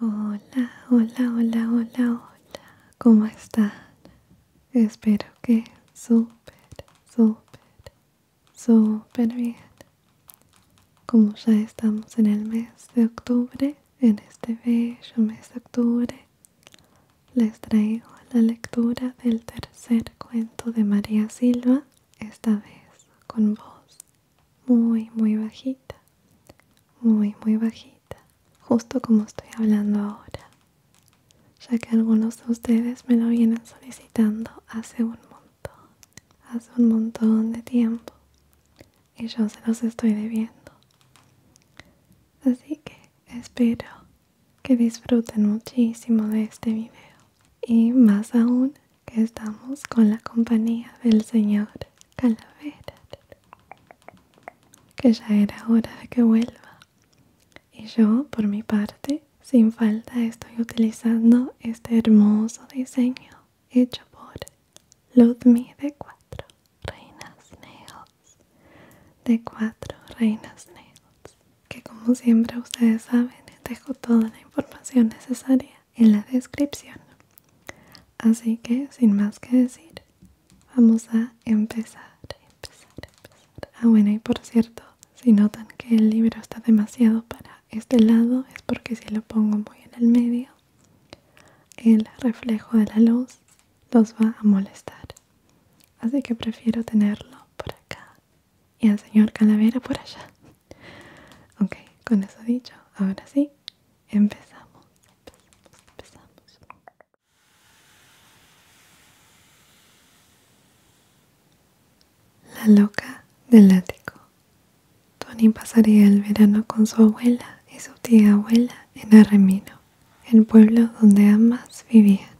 Hola, hola, hola, hola, hola. ¿Cómo están? Espero que súper, súper, súper bien. Como ya estamos en el mes de octubre, en este bello mes de octubre, les traigo la lectura del tercer cuento de María Silva, esta vez con vos muy muy bajita muy muy bajita justo como estoy hablando ahora ya que algunos de ustedes me lo vienen solicitando hace un montón hace un montón de tiempo y yo se los estoy debiendo así que espero que disfruten muchísimo de este video y más aún que estamos con la compañía del señor Calavera, que ya era hora de que vuelva. Y yo, por mi parte, sin falta estoy utilizando este hermoso diseño hecho por Ludmi de cuatro reinas nails, de cuatro reinas nails, que como siempre ustedes saben, dejo toda la información necesaria en la descripción. Así que sin más que decir, vamos a empezar, Ah, bueno, y por cierto, si notan que el libro está demasiado para este lado, es porque si lo pongo muy en el medio, el reflejo de la luz los va a molestar. Así que prefiero tenerlo por acá y al señor Calavera por allá. Ok, con eso dicho, ahora sí, empezamos. La loca del ático. Tony pasaría el verano con su abuela y su tía abuela en Arremino, el pueblo donde ambas vivían.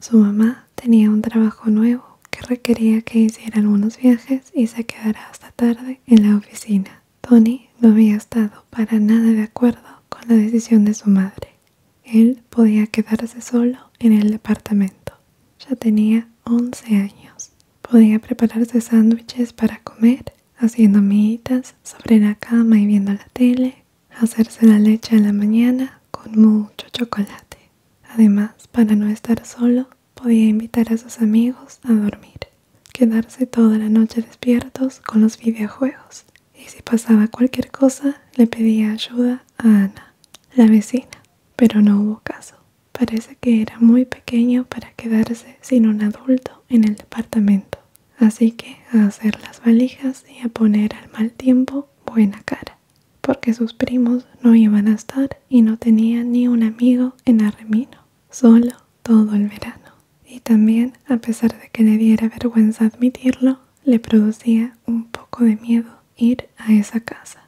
Su mamá tenía un trabajo nuevo que requería que hiciera algunos viajes y se quedará hasta tarde en la oficina. Tony no había estado para nada de acuerdo con la decisión de su madre. Él podía quedarse solo en el departamento. Ya tenía 11 años. Podía prepararse sándwiches para comer, haciendo miguitas sobre la cama y viendo la tele, hacerse la leche a la mañana con mucho chocolate. Además, para no estar solo, podía invitar a sus amigos a dormir, quedarse toda la noche despiertos con los videojuegos y si pasaba cualquier cosa le pedía ayuda a Ana, la vecina, pero no hubo caso. Parece que era muy pequeño para quedarse sin un adulto en el departamento, así que a hacer las valijas y a poner al mal tiempo buena cara, porque sus primos no iban a estar y no tenía ni un amigo en Arremino, solo todo el verano. Y también, a pesar de que le diera vergüenza admitirlo, le producía un poco de miedo ir a esa casa.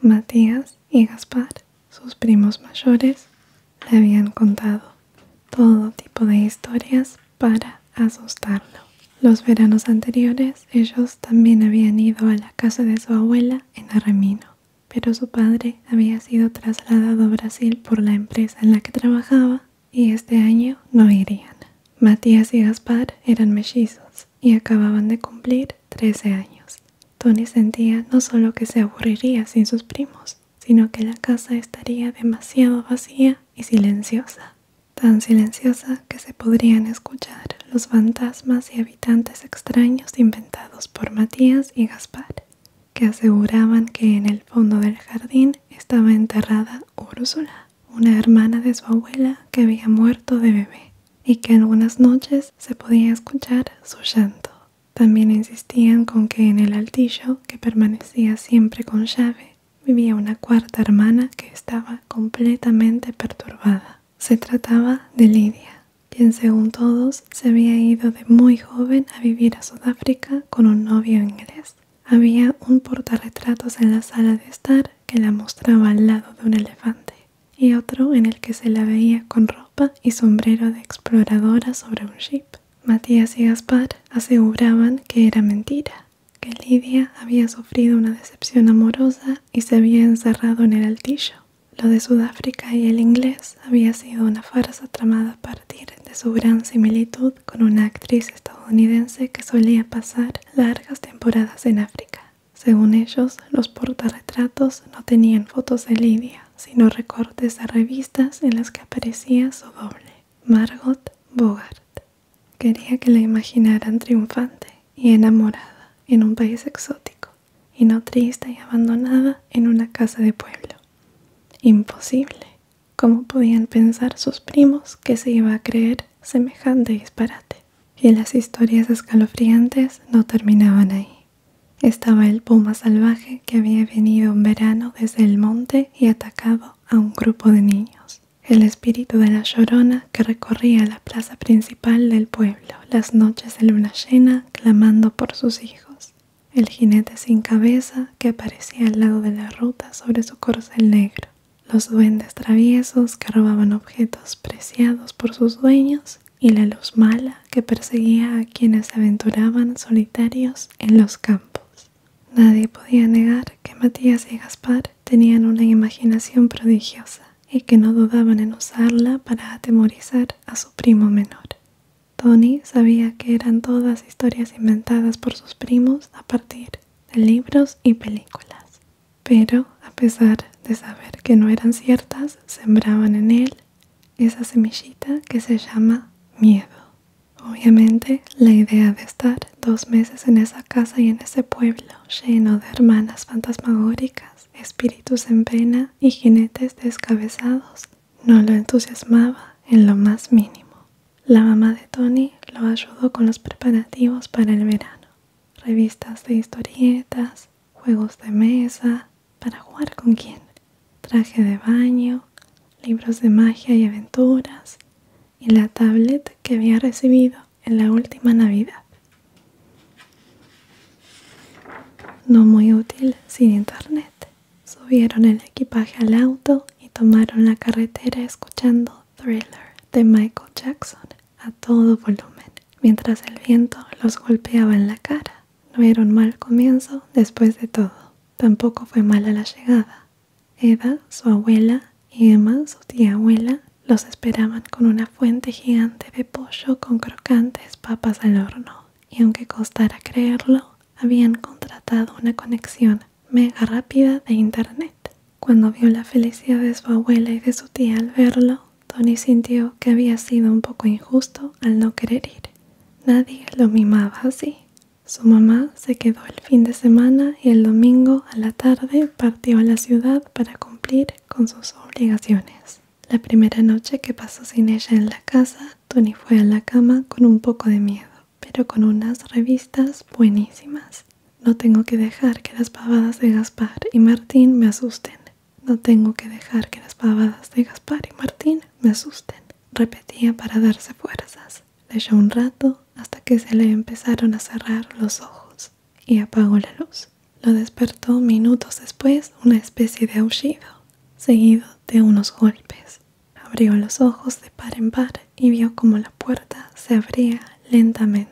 Matías y Gaspar, sus primos mayores, le habían contado todo tipo de historias para asustarlo. Los veranos anteriores ellos también habían ido a la casa de su abuela en Arremino pero su padre había sido trasladado a Brasil por la empresa en la que trabajaba y este año no irían. Matías y Gaspar eran mellizos y acababan de cumplir 13 años. Tony sentía no solo que se aburriría sin sus primos, sino que la casa estaría demasiado vacía y silenciosa, tan silenciosa que se podrían escuchar los fantasmas y habitantes extraños inventados por Matías y Gaspar, que aseguraban que en el fondo del jardín estaba enterrada Úrsula, una hermana de su abuela que había muerto de bebé y que algunas noches se podía escuchar su llanto. También insistían con que en el altillo, que permanecía siempre con llave, vivía una cuarta hermana que estaba completamente perturbada. Se trataba de Lidia, quien según todos se había ido de muy joven a vivir a Sudáfrica con un novio inglés. Había un retratos en la sala de estar que la mostraba al lado de un elefante y otro en el que se la veía con ropa y sombrero de exploradora sobre un ship. Matías y Gaspar aseguraban que era mentira, que Lidia había sufrido una decepción amorosa y se había encerrado en el altillo. Lo de Sudáfrica y el inglés había sido una farsa tramada a partir de su gran similitud con una actriz estadounidense que solía pasar largas temporadas en África. Según ellos, los portarretratos no tenían fotos de Lidia, sino recortes de revistas en las que aparecía su doble, Margot Bogart. Quería que la imaginaran triunfante y enamorada, en un país exótico y no triste y abandonada en una casa de pueblo. Imposible. ¿Cómo podían pensar sus primos que se iba a creer semejante disparate? Y las historias escalofriantes no terminaban ahí. Estaba el puma salvaje que había venido un verano desde el monte y atacado a un grupo de niños. El espíritu de la llorona que recorría la plaza principal del pueblo las noches de luna llena clamando por sus hijos, el jinete sin cabeza que aparecía al lado de la ruta sobre su corcel negro, los duendes traviesos que robaban objetos preciados por sus dueños y la luz mala que perseguía a quienes se aventuraban solitarios en los campos. Nadie podía negar que Matías y Gaspar tenían una imaginación prodigiosa y que no dudaban en usarla para atemorizar a su primo menor. Tony sabía que eran todas historias inventadas por sus primos a partir de libros y películas, pero a pesar de saber que no eran ciertas, sembraban en él esa semillita que se llama miedo. Obviamente, la idea de estar dos meses en esa casa y en ese pueblo lleno de hermanas fantasmagóricas, espíritus en pena y jinetes descabezados no lo entusiasmaba en lo más mínimo. La mamá de Tony lo ayudó con los preparativos para el verano, revistas de historietas, juegos de mesa, para jugar con quién, traje de baño, libros de magia y aventuras, y la tablet que había recibido en la última Navidad. No muy útil sin internet. Subieron el equipaje al auto y tomaron la carretera escuchando Thriller de Michael Jackson a todo volumen, mientras el viento los golpeaba en la cara. No era un mal comienzo después de todo. Tampoco fue mala la llegada. Eda, su abuela, y Emma, su tía abuela, los esperaban con una fuente gigante de pollo con crocantes papas al horno y aunque costara creerlo, habían contratado una conexión mega rápida de internet. Cuando vio la felicidad de su abuela y de su tía al verlo, Tony sintió que había sido un poco injusto al no querer ir. Nadie lo mimaba así. Su mamá se quedó el fin de semana y el domingo a la tarde partió a la ciudad para cumplir con sus obligaciones. La primera noche que pasó sin ella en la casa, Tony fue a la cama con un poco de miedo, pero con unas revistas buenísimas. No tengo que dejar que las pavadas de Gaspar y Martín me asusten. No tengo que dejar que las pavadas de Gaspar y Martín me asusten. Repetía para darse fuerzas leyó un rato hasta que se le empezaron a cerrar los ojos y apagó la luz. Lo despertó minutos después una especie de aullido, seguido de unos golpes. Abrió los ojos de par en par y vio como la puerta se abría lentamente.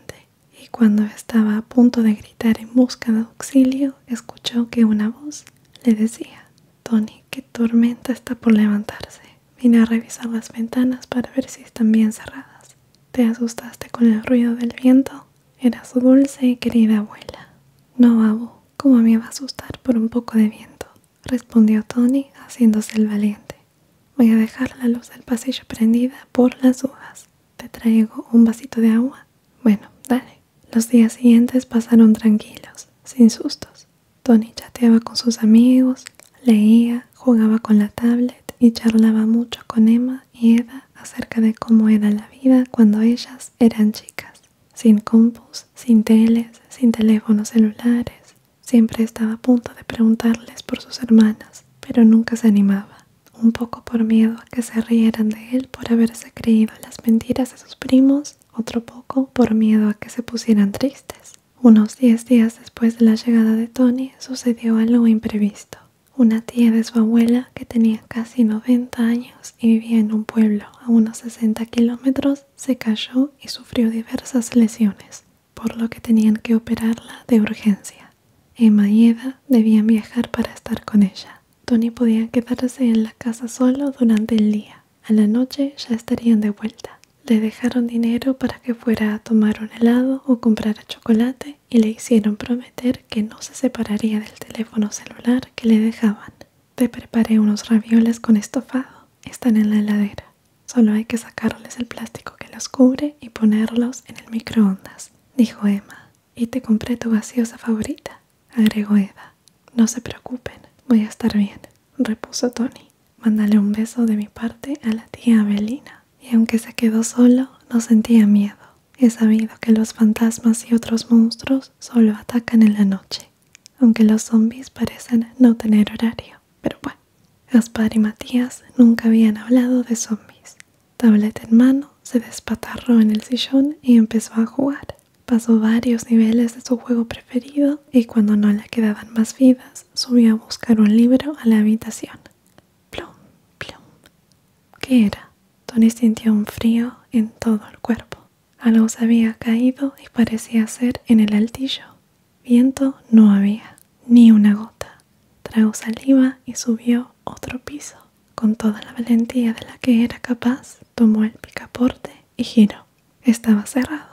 Y cuando estaba a punto de gritar en busca de auxilio, escuchó que una voz le decía, Tony, qué tormenta está por levantarse. Vine a revisar las ventanas para ver si están bien cerradas. Te asustaste con el ruido del viento. Era su dulce y querida abuela. No, abu, ¿cómo me va a asustar por un poco de viento? Respondió Tony, haciéndose el valiente. Voy a dejar la luz del pasillo prendida por las uvas. Te traigo un vasito de agua. Bueno, dale. Los días siguientes pasaron tranquilos, sin sustos. Tony chateaba con sus amigos, leía, jugaba con la tablet y charlaba mucho con Emma y Eda acerca de cómo era la vida cuando ellas eran chicas, sin compus, sin teles, sin teléfonos celulares. Siempre estaba a punto de preguntarles por sus hermanas, pero nunca se animaba, un poco por miedo a que se rieran de él por haberse creído las mentiras de sus primos, otro poco por miedo a que se pusieran tristes. Unos diez días después de la llegada de Tony sucedió algo imprevisto. Una tía de su abuela, que tenía casi 90 años y vivía en un pueblo a unos 60 kilómetros, se cayó y sufrió diversas lesiones, por lo que tenían que operarla de urgencia. Emma y Eva debían viajar para estar con ella. Tony podía quedarse en la casa solo durante el día. A la noche ya estarían de vuelta. Le dejaron dinero para que fuera a tomar un helado o comprar chocolate y le hicieron prometer que no se separaría del teléfono celular que le dejaban. Te preparé unos ravioles con estofado. Están en la heladera. Solo hay que sacarles el plástico que los cubre y ponerlos en el microondas, dijo Emma. Y te compré tu gaseosa favorita, agregó Eda. No se preocupen, voy a estar bien repuso Tony. Mándale un beso de mi parte a la tía Abelina. Y aunque se quedó solo, no sentía miedo. He sabido que los fantasmas y otros monstruos solo atacan en la noche, aunque los zombies parecen no tener horario. Pero bueno, Gaspar y Matías nunca habían hablado de zombies. Tableta en mano, se despatarró en el sillón y empezó a jugar. Pasó varios niveles de su juego preferido y cuando no le quedaban más vidas, subió a buscar un libro a la habitación. Plum, plum. ¿Qué era? Tony sintió un frío en todo el cuerpo. Algo se había caído y parecía ser en el altillo. Viento no había, ni una gota. Tragó saliva y subió otro piso. Con toda la valentía de la que era capaz, tomó el picaporte y giró. Estaba cerrado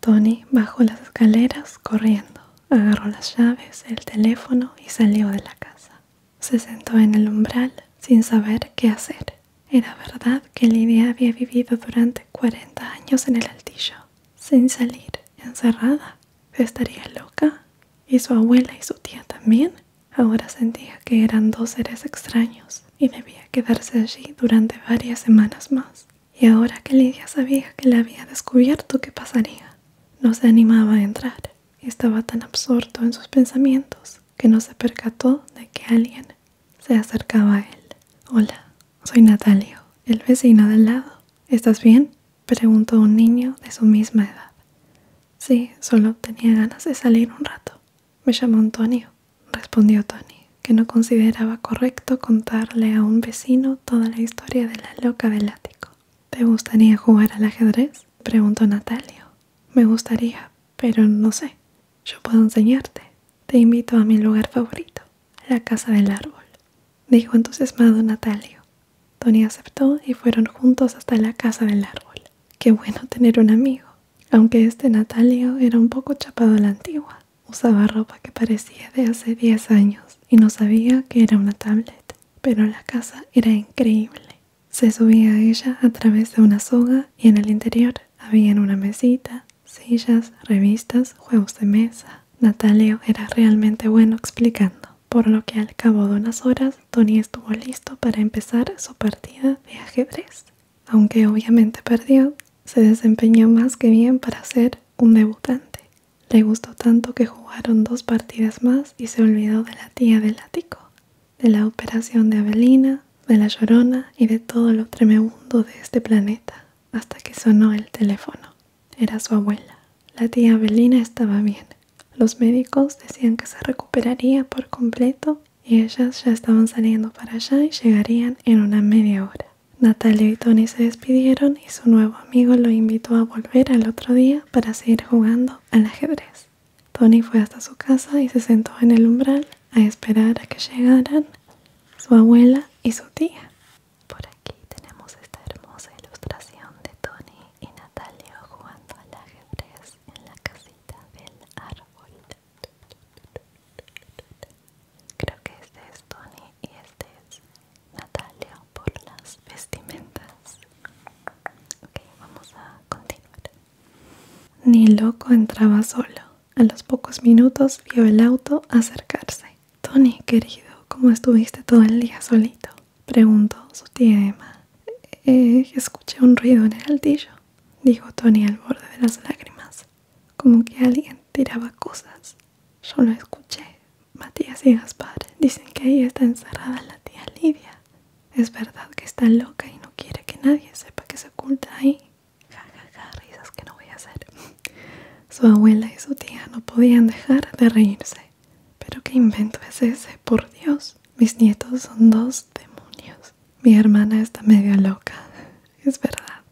Tony bajó las escaleras corriendo, agarró las llaves, el teléfono y salió de la casa. Se sentó en el umbral sin saber qué hacer. Era verdad que Lidia había vivido durante 40 años en el altillo, sin salir, encerrada. ¿Estaría loca? ¿Y su abuela y su tía también? Ahora sentía que eran dos seres extraños y debía quedarse allí durante varias semanas más. Y ahora que Lidia sabía que la había descubierto, ¿qué pasaría? No se animaba a entrar y estaba tan absorto en sus pensamientos que no se percató de que alguien se acercaba a él. Hola, soy Natalio, el vecino del lado. ¿Estás bien? preguntó un niño de su misma edad. Sí, solo tenía ganas de salir un rato. Me llamo Antonio, respondió Tony que no consideraba correcto contarle a un vecino toda la historia de la loca del ático. ¿Te gustaría jugar al ajedrez? preguntó Natalio. Me gustaría, pero no sé. Yo puedo enseñarte. Te invito a mi lugar favorito, la casa del árbol, dijo entusiasmado Natalio. Tony aceptó y fueron juntos hasta la casa del árbol. Qué bueno tener un amigo, aunque este Natalio era un poco chapado a la antigua. Usaba ropa que parecía de hace 10 años y no sabía que era una tablet, pero la casa era increíble. Se subía a ella a través de una soga y en el interior había una mesita, sillas, revistas, juegos de mesa. Natalio era realmente bueno explicando, por lo que al cabo de unas horas Tony estuvo listo para empezar su partida de ajedrez. Aunque obviamente perdió, se desempeñó más que bien para ser un debutante. Le gustó tanto que jugaron dos partidas más y se olvidó de la tía del ático, de la operación de Avelina, de la llorona y de todo lo tremebundo de este planeta, hasta que sonó el teléfono. Era su abuela. La tía Avelina estaba bien. Los médicos decían que se recuperaría por completo y ellas ya estaban saliendo para allá y llegarían en una media hora. Natalia y Tony se despidieron y su nuevo amigo lo invitó a volver al otro día para seguir jugando al ajedrez. Tony fue hasta su casa y se sentó en el umbral a esperar a que llegaran su abuela y su tía. Por aquí tenemos esta hermosa ilustración de Tony y Natalia jugando al ajedrez en la casita del árbol. Creo que este es Tony y este es Natalia por las vestimentas. Ok, vamos a continuar. Ni loco entraba solo. A los pocos minutos vio el auto acercarse. Tony, querido, ¿cómo estuviste todo el día solito? Preguntó su tía Emma. Eh, escuché un ruido en el altillo, dijo Tony al borde de las lágrimas como que alguien tiraba cosas. Yo lo escuché. Matías y Gaspar dicen que ahí está encerrada la tía Lidia. Es verdad que está loca y no quiere que nadie sepa que se oculta ahí. Ja, ja, ja, risas que no voy a hacer. Su abuela y su tía no podían dejar de reírse. Pero qué invento es ese, por Dios. Mis nietos son dos demonios. Mi hermana está media loca. Es verdad.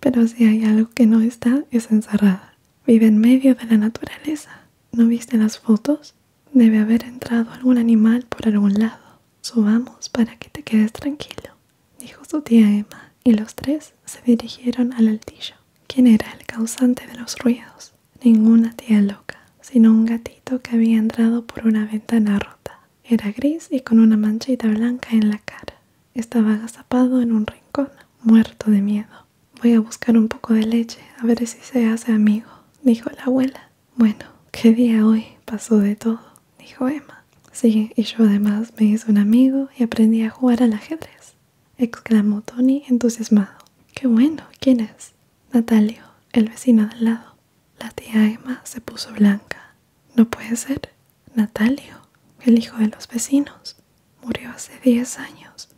Pero si hay algo que no está, es encerrada. Vive en medio de la naturaleza. ¿No viste las fotos? Debe haber entrado algún animal por algún lado. Subamos para que te quedes tranquilo, dijo su tía Emma, y los tres se dirigieron al altillo. ¿Quién era el causante de los ruidos? Ninguna tía loca, sino un gatito que había entrado por una ventana rota. Era gris y con una manchita blanca en la cara. Estaba agazapado en un rincón, muerto de miedo. Voy a buscar un poco de leche, a ver si se hace amigo, dijo la abuela. Bueno, qué día hoy, pasó de todo, dijo Emma. Sí, y yo además me hice un amigo y aprendí a jugar al ajedrez, exclamó Tony entusiasmado. Qué bueno, ¿quién es? Natalio, el vecino del lado. La tía Emma se puso blanca. No puede ser. Natalio, el hijo de los vecinos, murió hace diez años,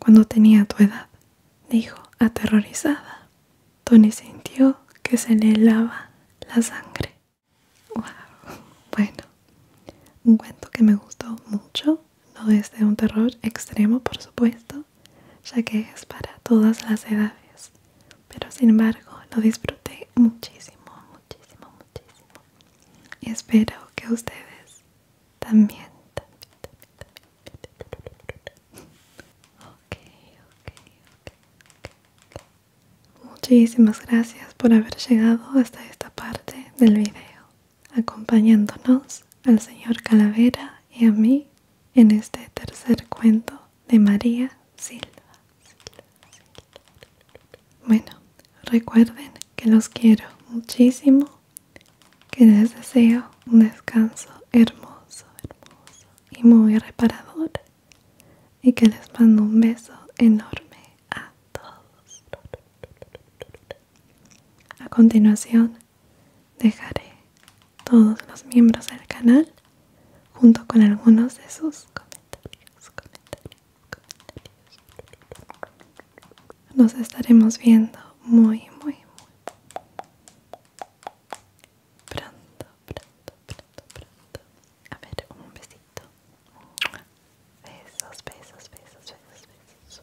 cuando tenía tu edad, dijo aterrorizada. Tony sintió que se le lava la sangre. Wow. Bueno, un cuento que me gustó mucho, no es de un terror extremo por supuesto, ya que es para todas las edades pero sin embargo lo disfruté muchísimo, muchísimo, muchísimo. Y espero que ustedes también, también, también, Muchísimas gracias por haber llegado hasta esta parte del video, acompañándonos al señor Calavera y a mí en este tercer cuento de María Silva. Bueno, recuerden que los quiero muchísimo, que les deseo un descanso hermoso, hermoso y muy reparador y que les mando un beso enorme a todos. A continuación dejaré todos los miembros del canal junto con algunos de sus comentarios, Nos estaremos viendo muy, muy, muy pronto, pronto, pronto, A ver, un besito. Besos, besos, besos, besos, besos.